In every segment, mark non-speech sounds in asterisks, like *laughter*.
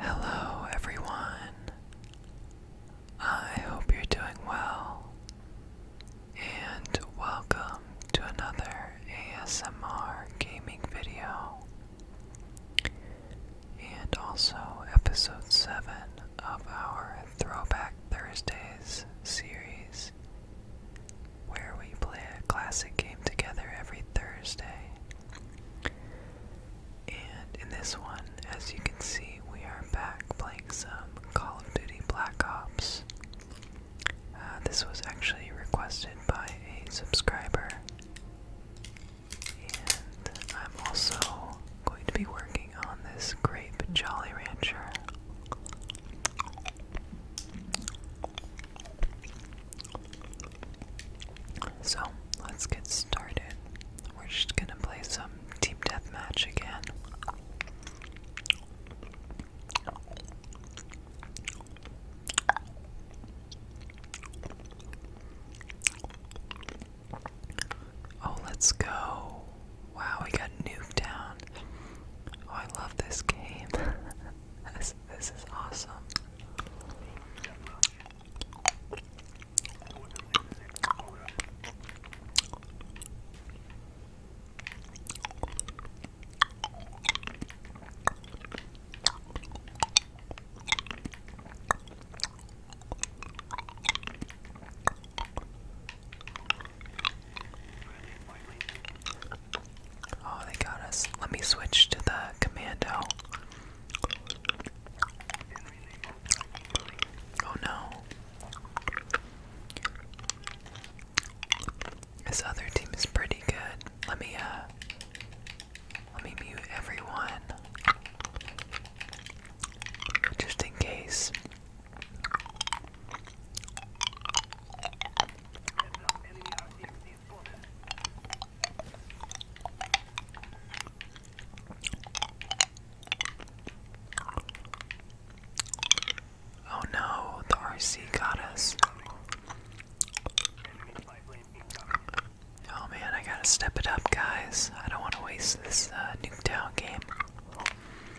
Hello, everyone. I hope you're doing well, and welcome to another ASMR gaming video, and also episode 7 of our throwback. Thursdays series where we play a classic game together every Thursday. And in this one, as you can see, we are back playing some Call of Duty Black Ops. Uh, this was actually requested by a subscriber. And I'm also going to be working on this grape Jolly Rancher. So let's get started. We're just gonna play some deep deathmatch again. Oh, let's go. Wow, we got Nuketown. Oh, I love this game. *laughs* this, this is awesome. Oh, they got us. Let me switch to the commando. Oh no. This other team is pretty good. Let me uh let me mute everyone. Just in case Oh no, the RC got us. Oh man, I gotta step it up, guys. I don't want to waste this uh, Nuketown game.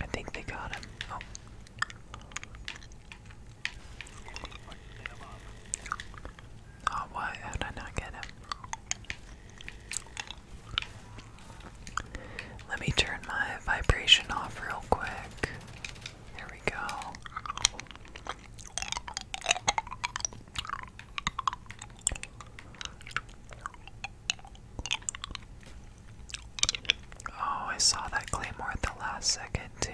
I think they got him. Oh. Oh, why? How did I not get him? Let me turn my vibration off real quick. Here we go. Oh, I saw that claymore at the last second, too.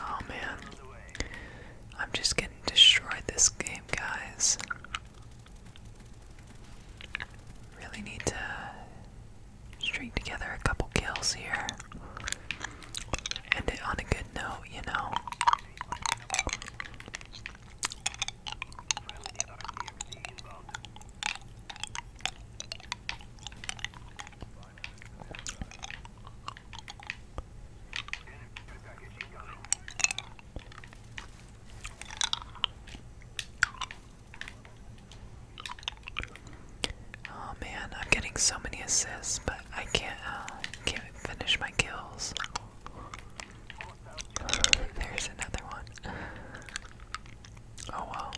Oh man. I'm just getting destroyed this game, guys. Really need to string together a couple kills here. and it on a good note, you know. Oh man, I'm getting so many assists, but I can't uh, can't finish my kills. *sighs* There's another one. Oh well.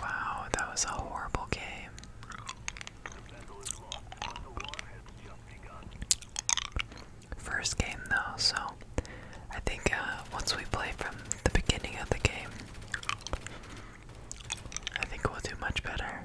Wow, that was a horrible game. First game though, so I think uh, once we play from the beginning of the game, I think we'll do much better.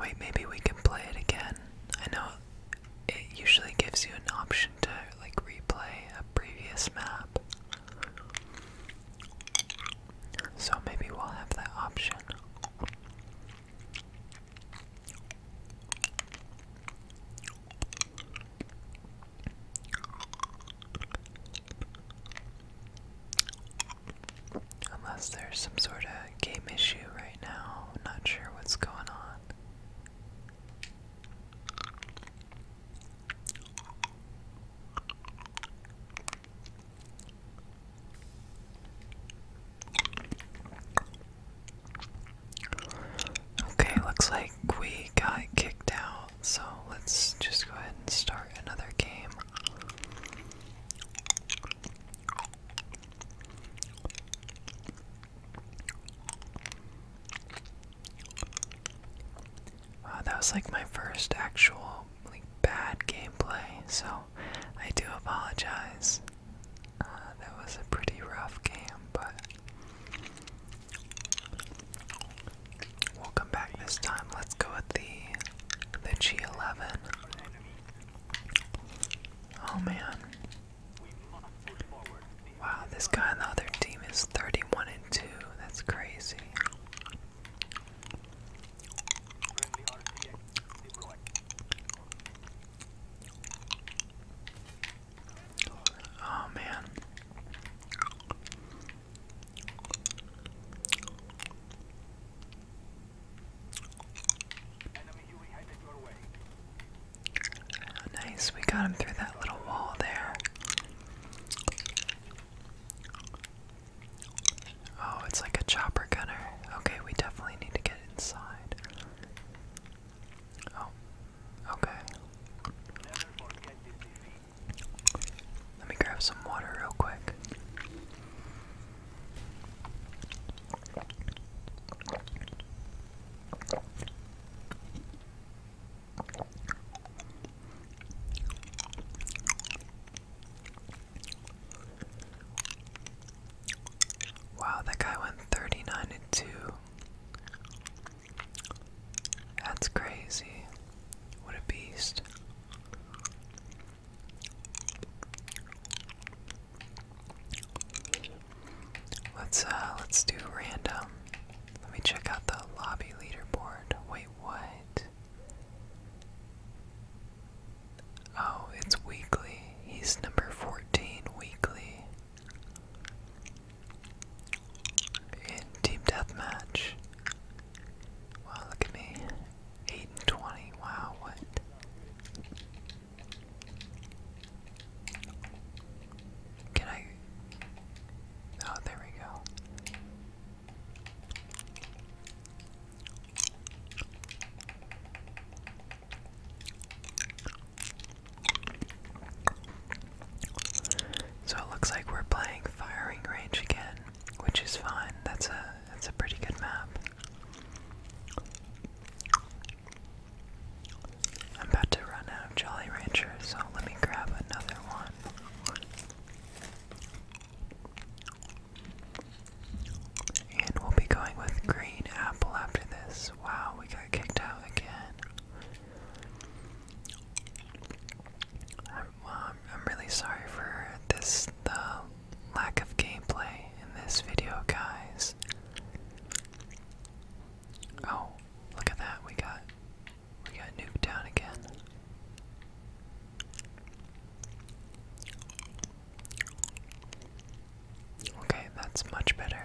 Wait, maybe we can play it again. I know it usually gives you an option to like replay a previous map. So maybe we'll have that option. Unless there's some sort of game issue right now. not sure what's going on. Okay, looks like we got kicked out, so let's just go ahead and start another game. Wow, uh, that was like my first actual like bad gameplay, so I do apologize. Uh, that was a pretty rough game, but We'll come back this time. Let's go with the the G11. Oh man. Wow, this guy on the other team is 31 and 2. That's crazy. Oh man nice, we got him through that little wall there. Oh, it's like a chopper gunner. Okay, we definitely need to get inside. Oh, okay. Let me grab some water real quick. Wow, that guy went 39 and 2. That's crazy. What a beast. Let's uh let's do random. Let me check out the lobby leaderboard. Wait, what? Oh, it's weekly. He's number 14 weekly. In team deathmatch. Wow, look at me. 8 and 20. Wow, what? Can I. Oh, there we go. So it looks like we're playing firing range again, which is fine. That's a that's a pretty good map. I'm about to run out of Jolly Rancher, so let me grab another one. And we'll be going with green apple after this. Wow, we got kicked out again. I'm, I'm really sorry for this, the lack of gameplay in this video, guys. Oh, look at that, we got, we got nuked down again. Okay, that's much better.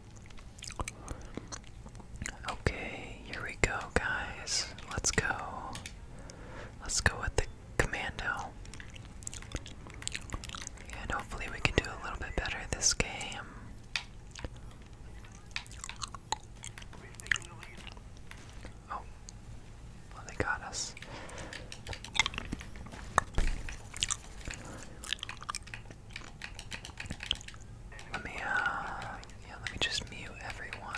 Okay, here we go, guys. Let's go. Let's go with the commando. And hopefully, we can do a little bit better this game. Oh, well, they got us. Let me, uh, yeah, let me just mute everyone.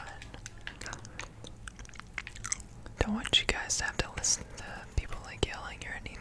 Don't want you guys to have to listen to people like yelling or anything.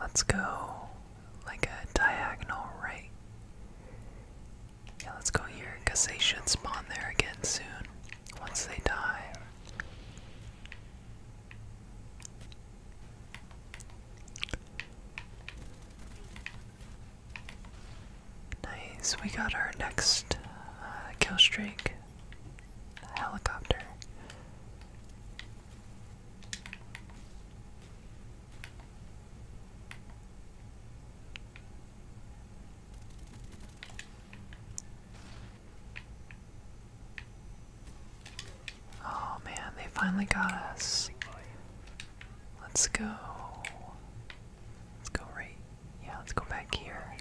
Let's go like a diagonal right. Yeah, let's go here because they should spawn there again soon once they die. Nice, we got our next uh, kill streak helicopter. Oh man, they finally got us. Let's go. Let's go right. Yeah, let's go back here.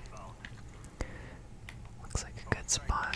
Looks like a good spot.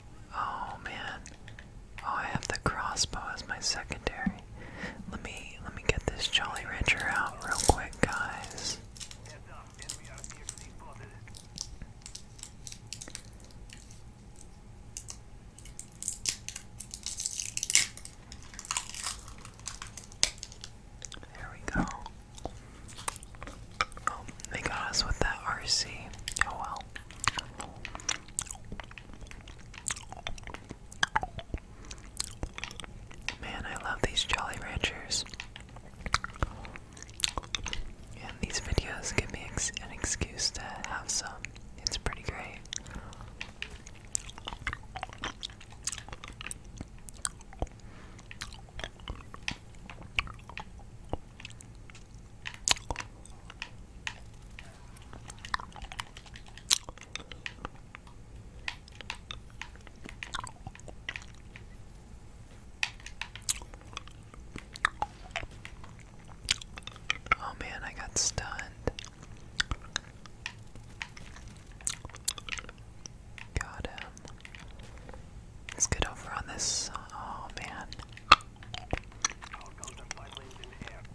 Oh man. Oh, I have the crossbow as my secondary. Let me let me get this Jolly Rancher out real quick, guys. There we go. Oh, they got us with that RC. Oh well. Man, I love these Jolly Ranchers. And these videos give me an excuse to have some. It's pretty great. Oh man, I got stunned. Got him. Let's get over on this. Oh man.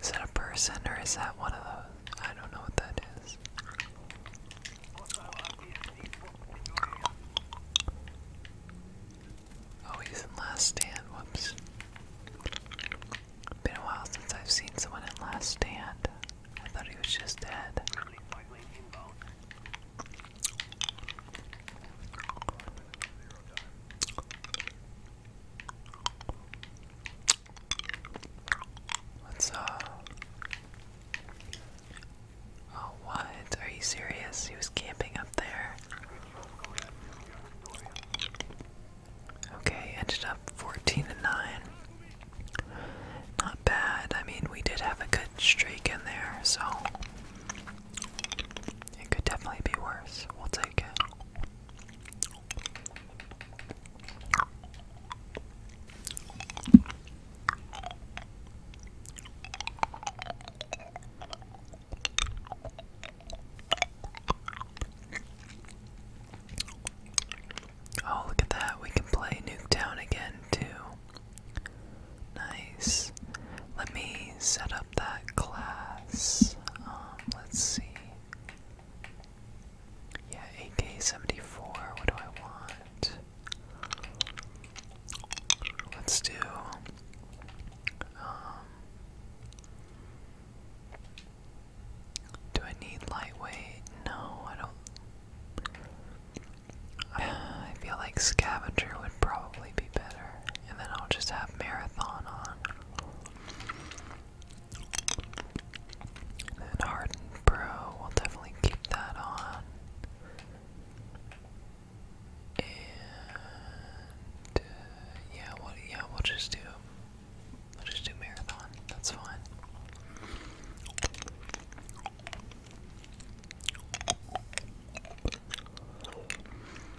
Is that a person or is that one of those? I don't know what that is. Oh, he's in Last Stand. Whoops. Been a while since I've seen someone in Last Stand. I thought he was just dead. What's up? Oh, what? Are you serious? He was camping up there. Okay, ended up 14 and 9. Not bad. I mean, we did have a good streak in there, so it could definitely be worse. We'll take it. Oh, look at that. We can play Nuketown again, too. Nice. Let me set up that class. Um, let's see. Yeah, AK74, what do I want? Let's do um, do I need lightweight? No, I don't. *sighs* I feel like scavenger would probably be better, and then I'll just have marathon on then Harden Pro, we'll definitely keep that on. And uh, yeah, what? Well, yeah, we'll just do. We'll just do marathon. That's fine.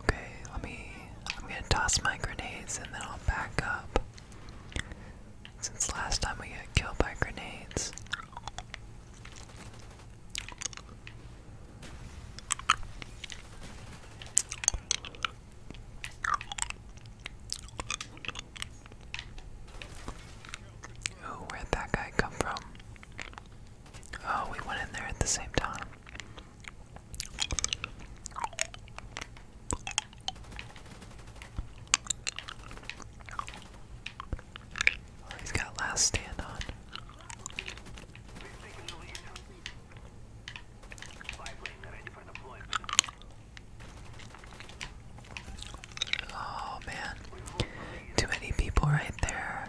Okay, let me. I'm gonna toss my grenades and then I'll back up. Since last time we got killed by grenades. Oh, where that guy come from? Oh, we went in there at the same time. Oh, he's got last stand on. Oh man. Too many people right there.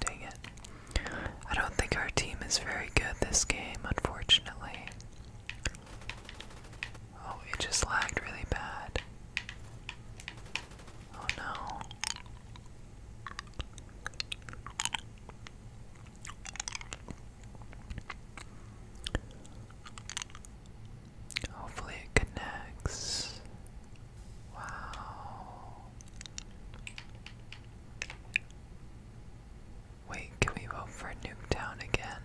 Dang it. I don't think our team is very good this game, unfortunately. Oh, it just lagged really bad. Oh no. Hopefully it connects. Wow. Wait, can we vote for Nuketown again?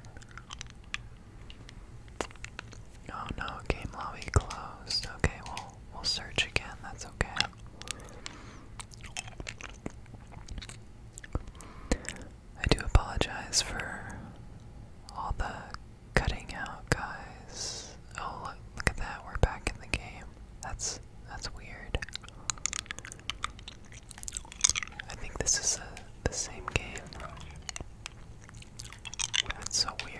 Oh no, game lobby closed. Okay, well we'll search again, that's okay. I do apologize for all the cutting out, guys. Oh, look, look at that. We're back in the game. That's that's weird. I think this is a, the same game. That's so weird.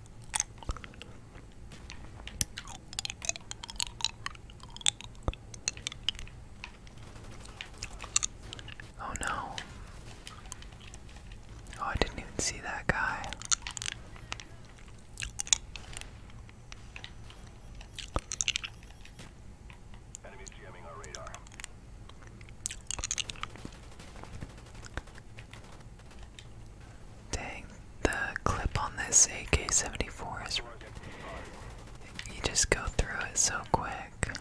Oh no. Oh, I didn't even see that guy. jamming our radar. Dang, the clip on this AK-74 is... You just go through it so quick.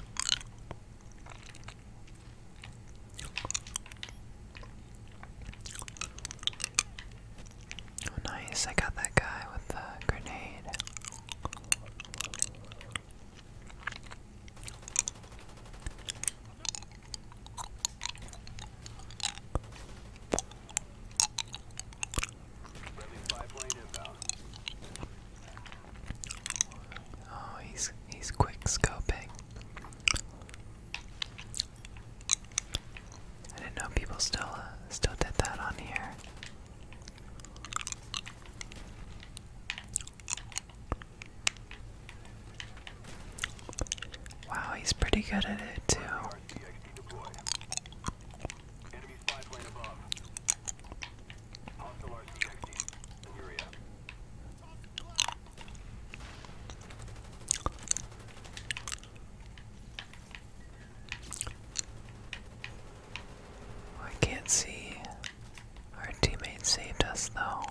Oh, nice, I got that guy with the grenade. Oh, he's he's quick scoping. I didn't know people still uh, still did that on here. Wow, he's pretty good at it too. Oh, I can't see. Our teammate saved us though.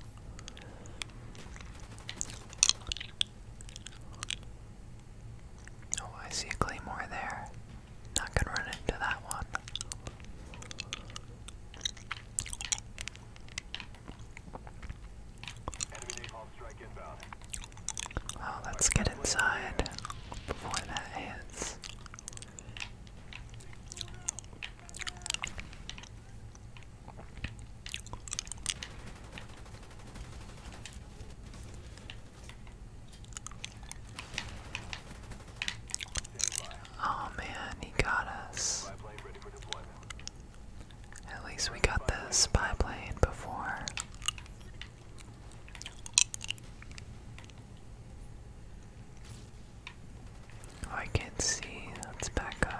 Oh, I see a claymore there. Not gonna run into that one. Oh, let's get inside before that hits. Oh man, he got us. At least we got the spy plane before. Oh, I can't see. Let's back up.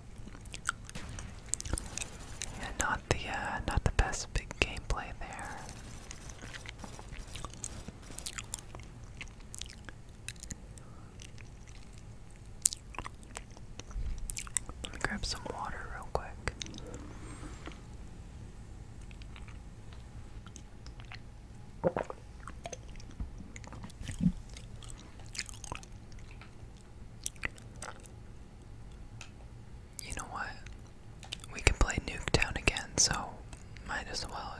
not the uh, not the best big gameplay there. Let me grab some water real quick. You know what? We can play Nuketown again, so might as well.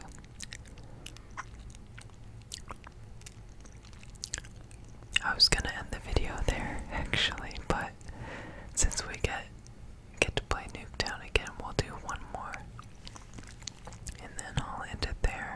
I was gonna end the video there *laughs* actually, but since we get get to play Nuketown again, we'll do one more. And then I'll end it there.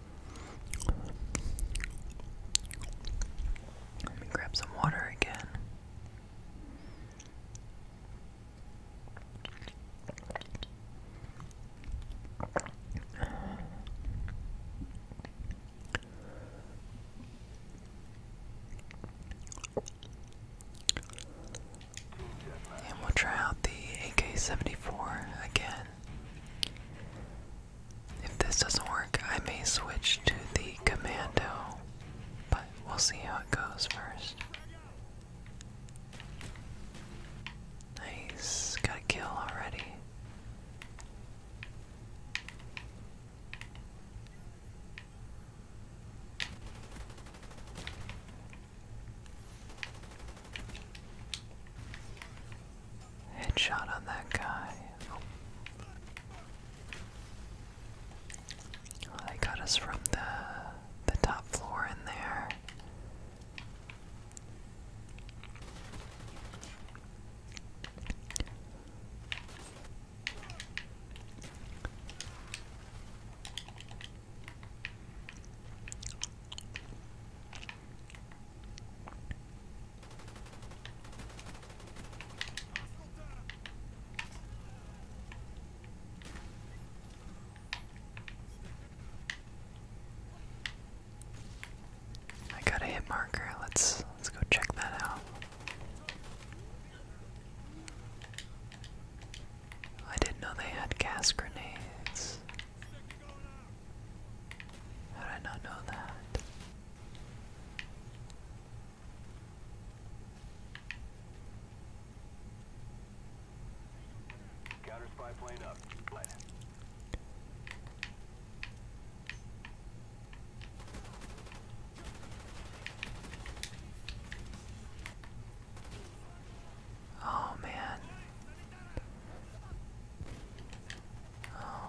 Let me grab some water again. And we'll try out the AK-74 again. If this doesn't work, I may switch to the commando, but we'll see how it goes first. Nice, got kill already. Headshot on that guy. they got us from the the top floor in there. I got a hit marker. Let's let's go check that out. I didn't know they had gas grenades. How did I not know that? Counter spy plane up. Light. Oh man, Oh.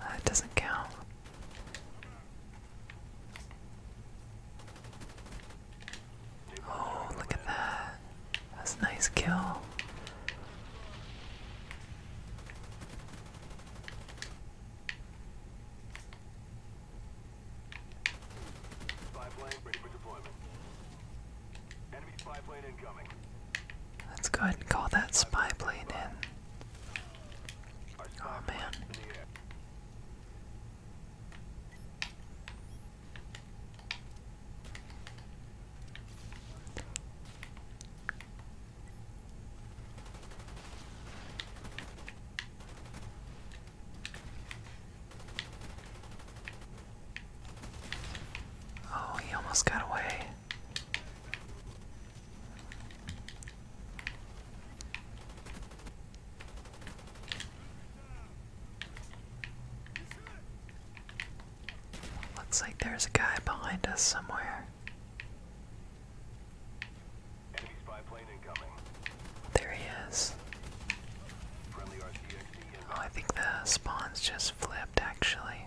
That doesn't count. Oh, look at that. That's a nice kill. Five lane ready for deployment. Enemy five lane incoming. Let's go ahead and call that spy plane in. Oh man. Oh, he almost got away. Looks like there's a guy behind us somewhere. There he is. Oh, I think the spawns just flipped actually.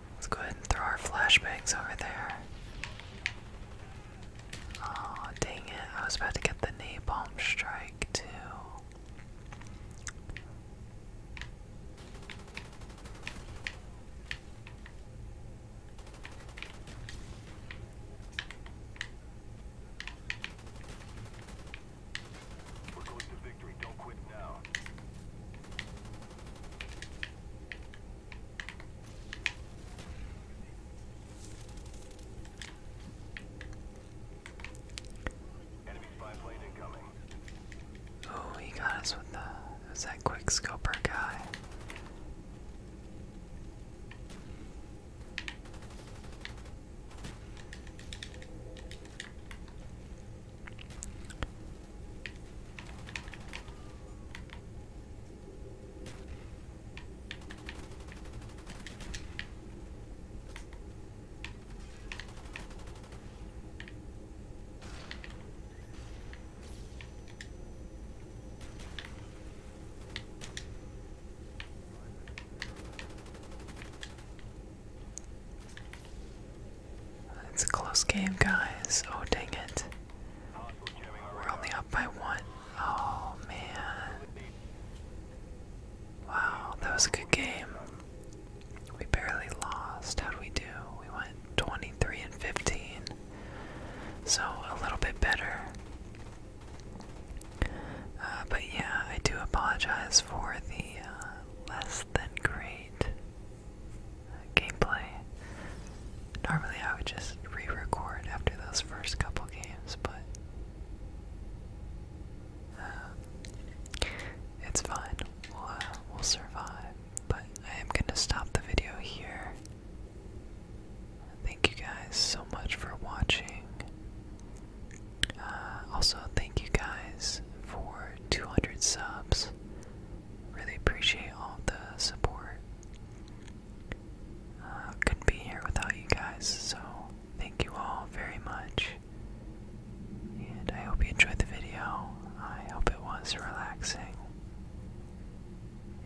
Let's go ahead and throw our flashbangs over there. Oh, dang it. I was about to get the napalm strike, too. We're going to victory. Don't quit now. Oh, he got us with the. It that quick scoper guy. It's a close game, guys. Oh, dang it. We're only up by one. Oh man. Wow, that was a good game. We barely lost. how do we do? We went 23 and 15. So a little bit better. Uh, but yeah, I do apologize for the uh, less than great gameplay. Normally, I would just re record after those first couple games, but um, it's fine. Uh, we'll, survive. But I am going to stop the video here. Thank you guys so much for watching. Uh, also, thank you guys for 200 subs. Really appreciate all the support. Uh, couldn't be here without you guys, so thank you all very much. And I hope you enjoyed the video. I hope it was relaxing.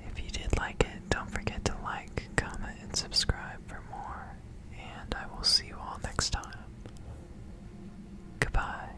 If you did like it, don't forget to like, comment, and subscribe for more. And I will see you all next time. Goodbye.